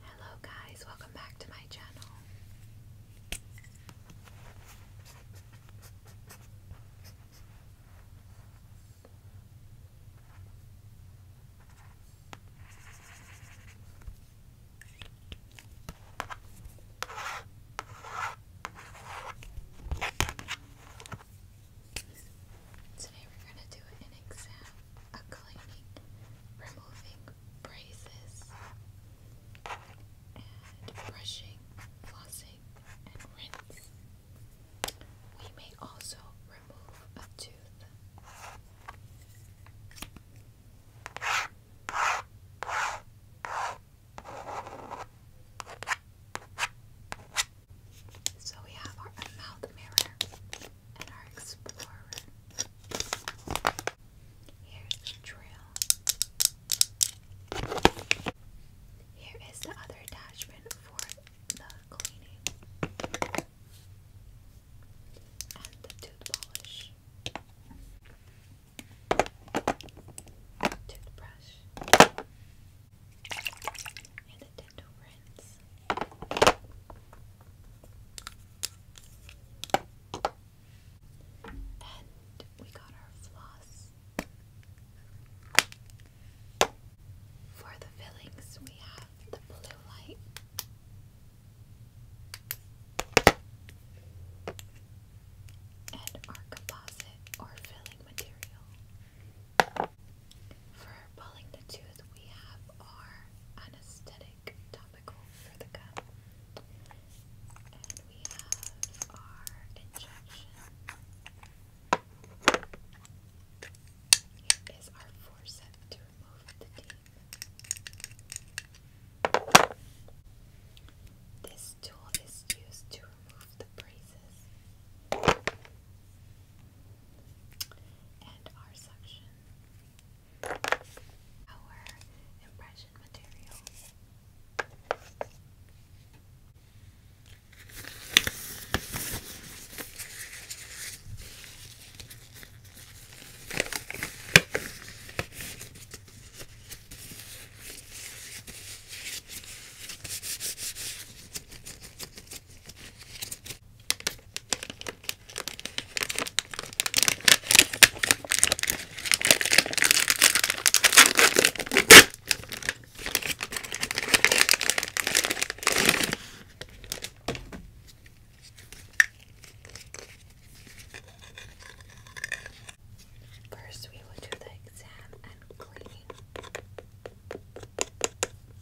Hello guys, welcome back to my channel. Today we're going to do an exam, a cleaning, removing braces, and brushing, flossing, and rinse. We may also remove a tooth. So we have our mouth mirror and our explorer. Here's the drill. Here is the other attachment for the cleaning and the tooth polish. Toothbrush and a and we got our floss. For the fillings, we have the blue light. And our composite or filling material. For pulling the tooth, we have our anesthetic topical for the gum. And we have our injection. Here is our forceps to remove the teeth. This tool is used to remove the braces and our section, our impression material. First, we will do the exam and cleaning.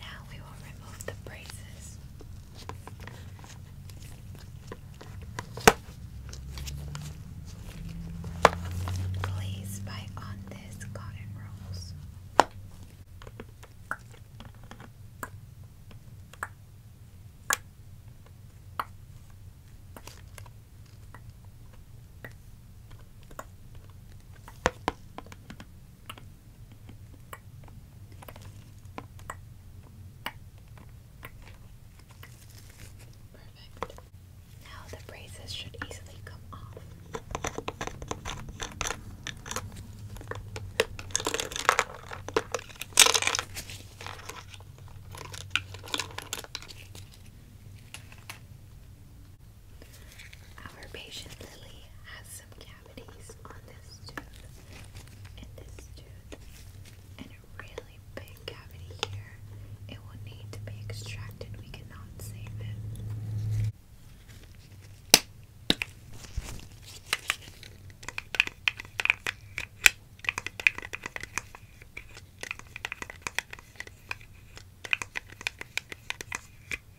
Now we will remove the braces. Please bite on this cotton rolls. Perfect. Now the braces should easily come off. Our patient Lily has some cavities on this tooth and this tooth and a really big cavity here. It will need to be extracted. We cannot save it. Now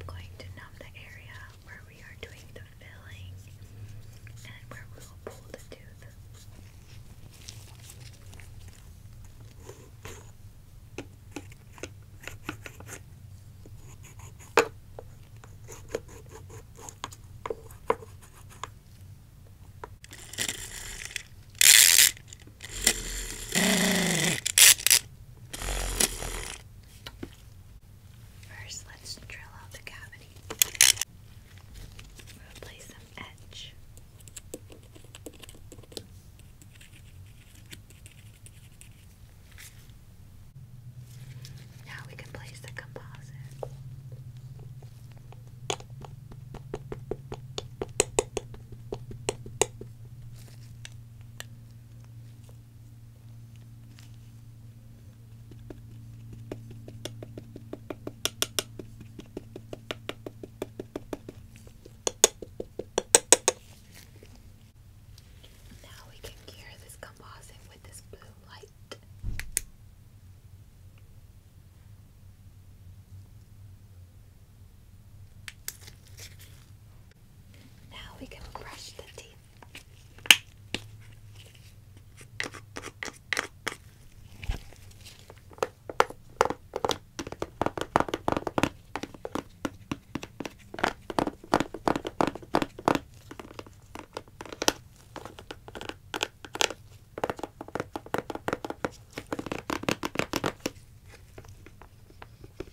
I'm going to numb the area where we are doing the filling and where we will pull the tooth. First, let's drill out the cavity. We'll edge. Now we can place the composite. Now we can cure this composite with this blue light. Now we can brush the teeth.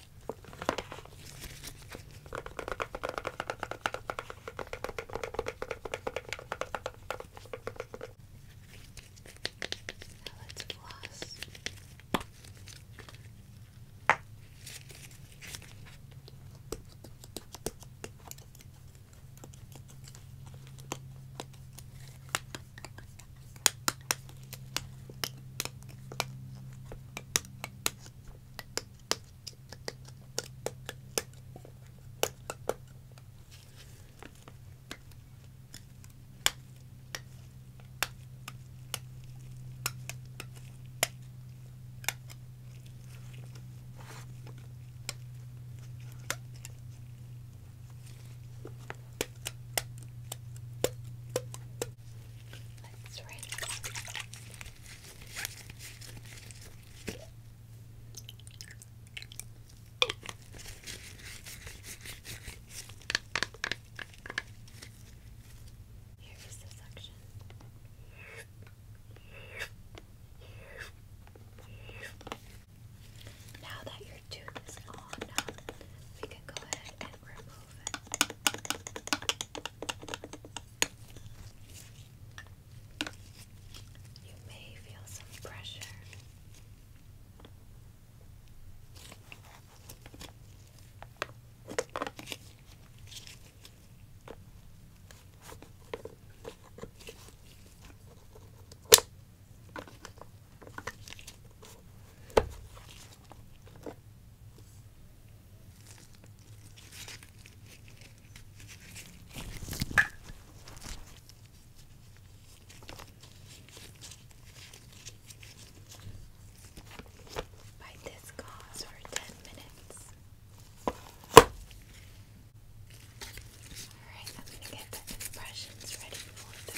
Now let's floss. Let's rinse here is the suction. Now that your tooth is on, we can go ahead and remove you may feel some pressure. Bite this cause for ten minutes. Alright, I'm gonna get the impressions ready for the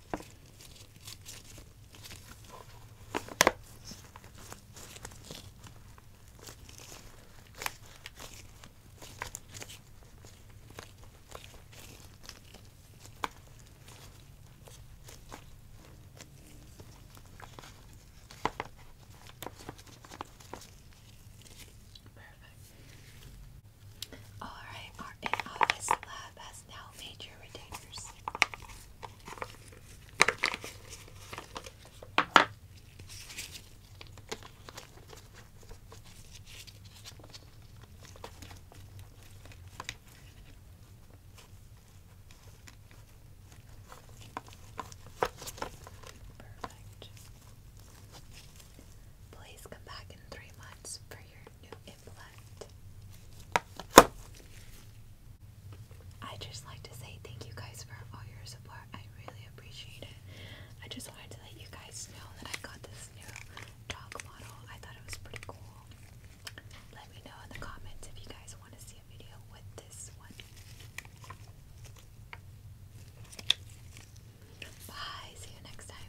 Perfect. All right, our has now made retainers. Perfect. Please come back in three months for your new implant. I just like to say thank you guys for all your support. I really appreciate it. I just wanted to let you guys know that I got this new dog model. I thought it was pretty cool. Let me know in the comments if you guys want to see a video with this one. Bye. See you next time.